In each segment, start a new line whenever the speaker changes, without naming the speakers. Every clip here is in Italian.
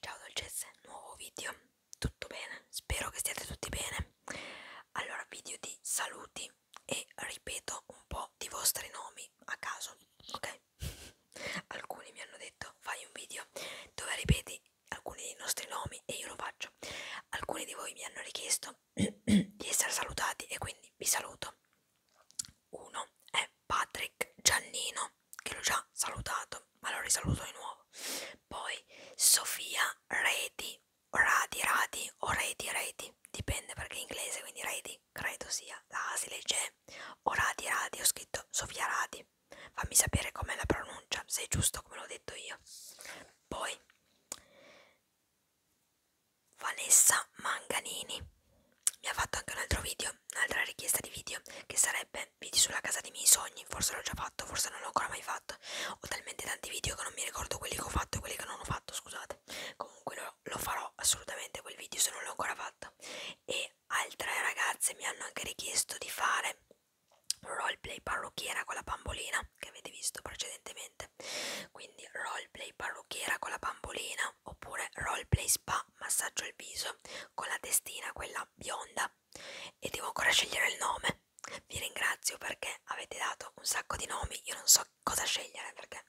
Ciao dolcezze, nuovo video, tutto bene? Spero che stiate tutti bene. Allora, video di saluti e ripeto un po' di vostri nomi a caso, ok? Alcuni mi hanno detto fai un video dove ripeti alcuni dei nostri nomi e io lo faccio. Alcuni di voi mi hanno richiesto di essere salutati e quindi vi saluto. Uno è Patrick Giannino, che l'ho già salutato, ma lo risaluto di nuovo. Poi Sofia Reti, Radi Radi o Reti Reti, dipende perché è inglese, quindi Reti credo sia la si legge o Radi Radi, ho scritto Sofia Radi. Fammi sapere com'è la pronuncia, se è giusto come l'ho detto io. Poi Vanessa Manganini mi ha fatto anche un altro video video, un'altra richiesta di video che sarebbe video sulla casa dei miei sogni, forse l'ho già fatto, forse non l'ho ancora mai fatto, ho talmente tanti video che non mi ricordo quelli che ho fatto e quelli che non ho fatto, scusate, comunque lo, lo farò assolutamente quel video se non l'ho ancora fatto e altre ragazze mi hanno anche richiesto di fare roleplay parrucchiera con la bambolina che avete visto precedentemente quindi roleplay parrucchiera con la bambolina oppure roleplay spa massaggio al viso con la testina quella bionda Luisa e devo ancora scegliere il nome. Vi ringrazio perché avete dato un sacco di nomi, io non so cosa scegliere perché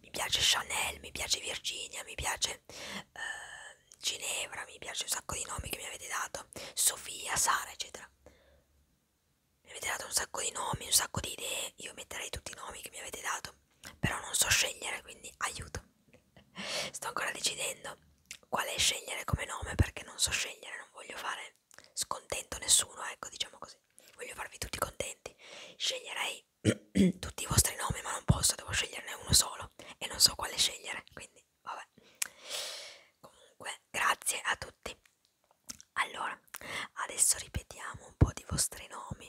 mi piace Chanel, mi piace Virginia, mi piace eh, Ginevra, mi piace un sacco di nomi che mi avete dato, Sofia, Sara, eccetera. Mi avete dato un sacco di nomi, un sacco di idee, io metterei tutti i nomi che mi avete dato, però non so scegliere, quindi aiuto. Sto ancora decidendo quale scegliere come nome perché non so scegliere, non voglio fare scontento nessuno, ecco, diciamo così. Voglio farvi tutti contenti. Sceglierei tutti i vostri nomi, ma non posso, devo sceglierne uno solo e non so quale scegliere, quindi vabbè. Comunque, grazie a tutti. Allora, adesso ripetiamo un po' di vostri nomi.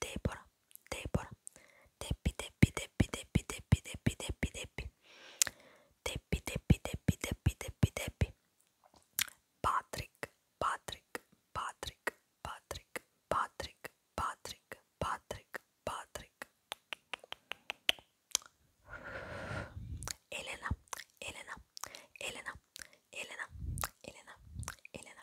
Debora, Debora, Deppi, Deppi, Deppi, Deppi, Deppi, Deppi, Deppi, Deppi, Deppi, Deppi, Deppi, Deppi, Deppi, Deppi, Patrick, Patrick, Patrick, Patrick, Patrick, Patrick, Patrick, Patrick, Elena, Elena, Elena, Elena, Elena, Elena,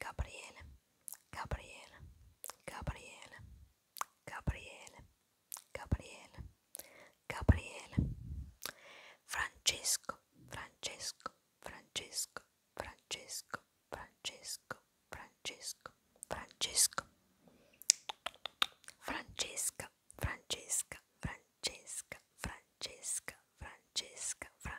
Gabriele, Gabriele, Gabriele, Gabriele, Gabriele, Gabriele, Francesco, Francesco, Francesco, Francesco, Francesco, Francesco, Francesco, Francesca, Francesca, Francesca, Francesca, Francesca, Francesca.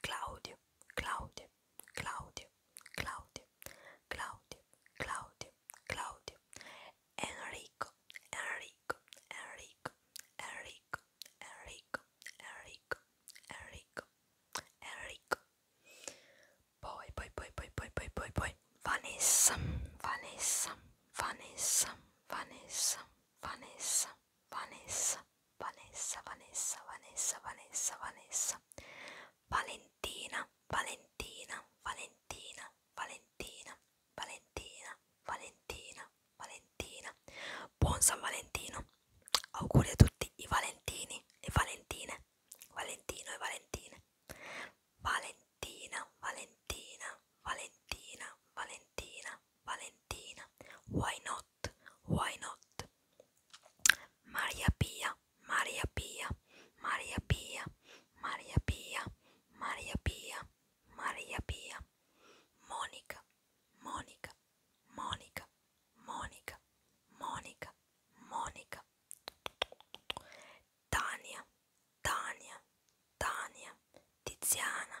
Claudio, Claudio, Claudio, Claudio, Claudio, Claudio, Claudio, Enrico, Enrico, Enrico, Enrico, Enrico, Enrico, Enrico, Enrico. Poi, poi, poi, poi, poi, poi, poi, poi, Vanessa, Vanessa, Vanessa, Vanessa, Vanessa. Vanessa, Vanessa, Vanessa, Vanessa, Vanessa, Vanessa, Valentina, Valentina, Valentina, Valentina, Valentina, Valentina, Valentina. Buon San Valentino. Auguri a tutti i Valentini e Valentine. Valentino e Valentine. Valentina, Valentina, Valentina, Valentina, Valentina. Why not? Why not? Maria Pia, Maria Pia, Maria Pia, Maria Pia, Maria Pia, Maria Pia, Monica, Monica, Monica, Monica, Monica, Monica, Tania, Tania, Tania, Tiziana.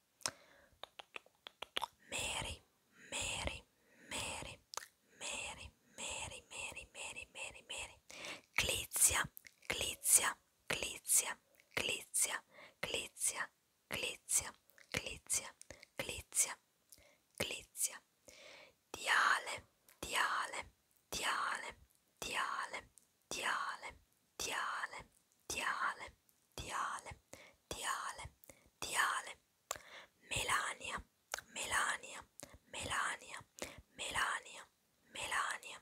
Mary, Mary, Mary, Mary, Mary, Mary, Mary, Mary, Mary, Clizia, Clizia, Clizia, Clizia, Clizia, Clizia, Clizia, Clizia, Clizia, Diale, Diale, Diale, Diale, Diale, diale, diale, diale, diale, diale, melania, melania, melania, melania, melania,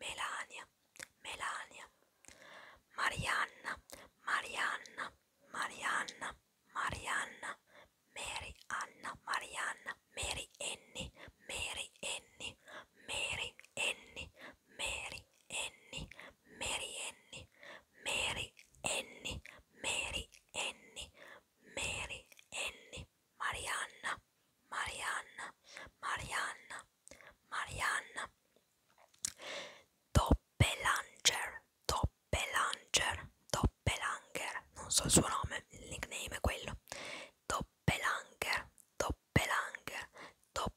melania, melania, marianna, marianna, marianna, marianna, Mary Anna, Marianna, Mary Annie, Mary Annie, Mary Annie, Mary Annie, Mary Annie, Mary Annie, Mary Annie, Mary Annie, Marianna, Marianna, Marianna, Marianna, Doppelanger, Doppelanger, Doppelanger, non so il suo nome, il nickname è quello, Doppelanger, Doppelanger, Doppelanger.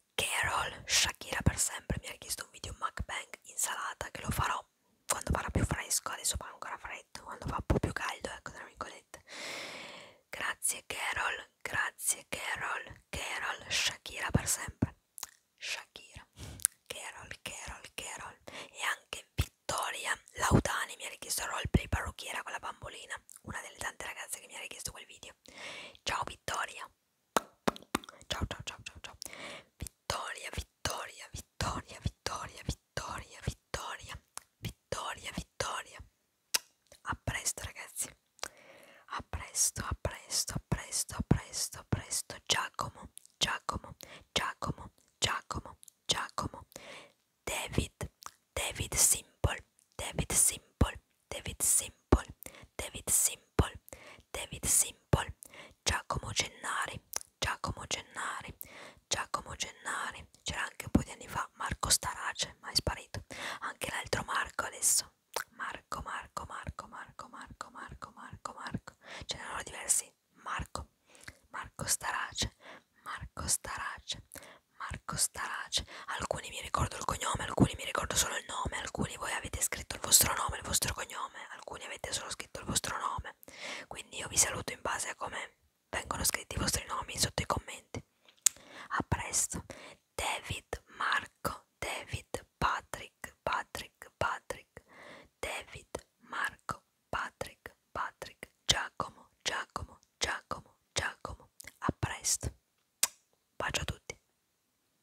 Carol, Shakira per sempre, mi ha richiesto un video mukbang insalata che lo farò quando farà più fresco, adesso fa ancora freddo, quando fa un po' più caldo, ecco tra virgolette. Grazie Carol, grazie Carol, Carol, Shakira per sempre. Shakira, Carol, Carol, Carol. E anche Vittoria Lautani mi ha richiesto il roleplay parrucchiera con la bambolina, una delle tante ragazze che mi ha richiesto quel video. Ciao Vittoria. Ciao ciao ciao ciao ciao. Vittoria, Vittoria, Vittoria, Vittoria, Vittoria, Vittoria, Vittoria, Vittoria. A presto ragazzi. A presto, a presto, a presto, a presto, a presto. Giacomo, Giacomo, Giacomo, Giacomo, Giacomo. David, David Simple, David Simple, David Simple, David Simple. Simple, David Simple, Giacomo Gennari, Giacomo Gennari, Giacomo Gennari, c'era anche un po' di anni fa Marco Starace, ma è sparito, anche l'altro Marco adesso, Marco, Marco, Marco, Marco, Marco, Marco, Marco, Marco, ce n'erano diversi, Marco, Marco Starace, Marco Starace, Marco Starace, alcuni mi ricordo il cognome, alcuni mi ricordo solo il nome, alcuni voi avete scritto il vostro nome, il vostro cognome, cognome, alcuni avete solo scritto il vostro nome, quindi io vi saluto in base a come vengono scritti i vostri nomi sotto i commenti. A presto, David Marco, David Patrick, Patrick, Patrick, David Marco, Patrick, Patrick, Giacomo, Giacomo, Giacomo, Giacomo. A presto, bacio a tutti.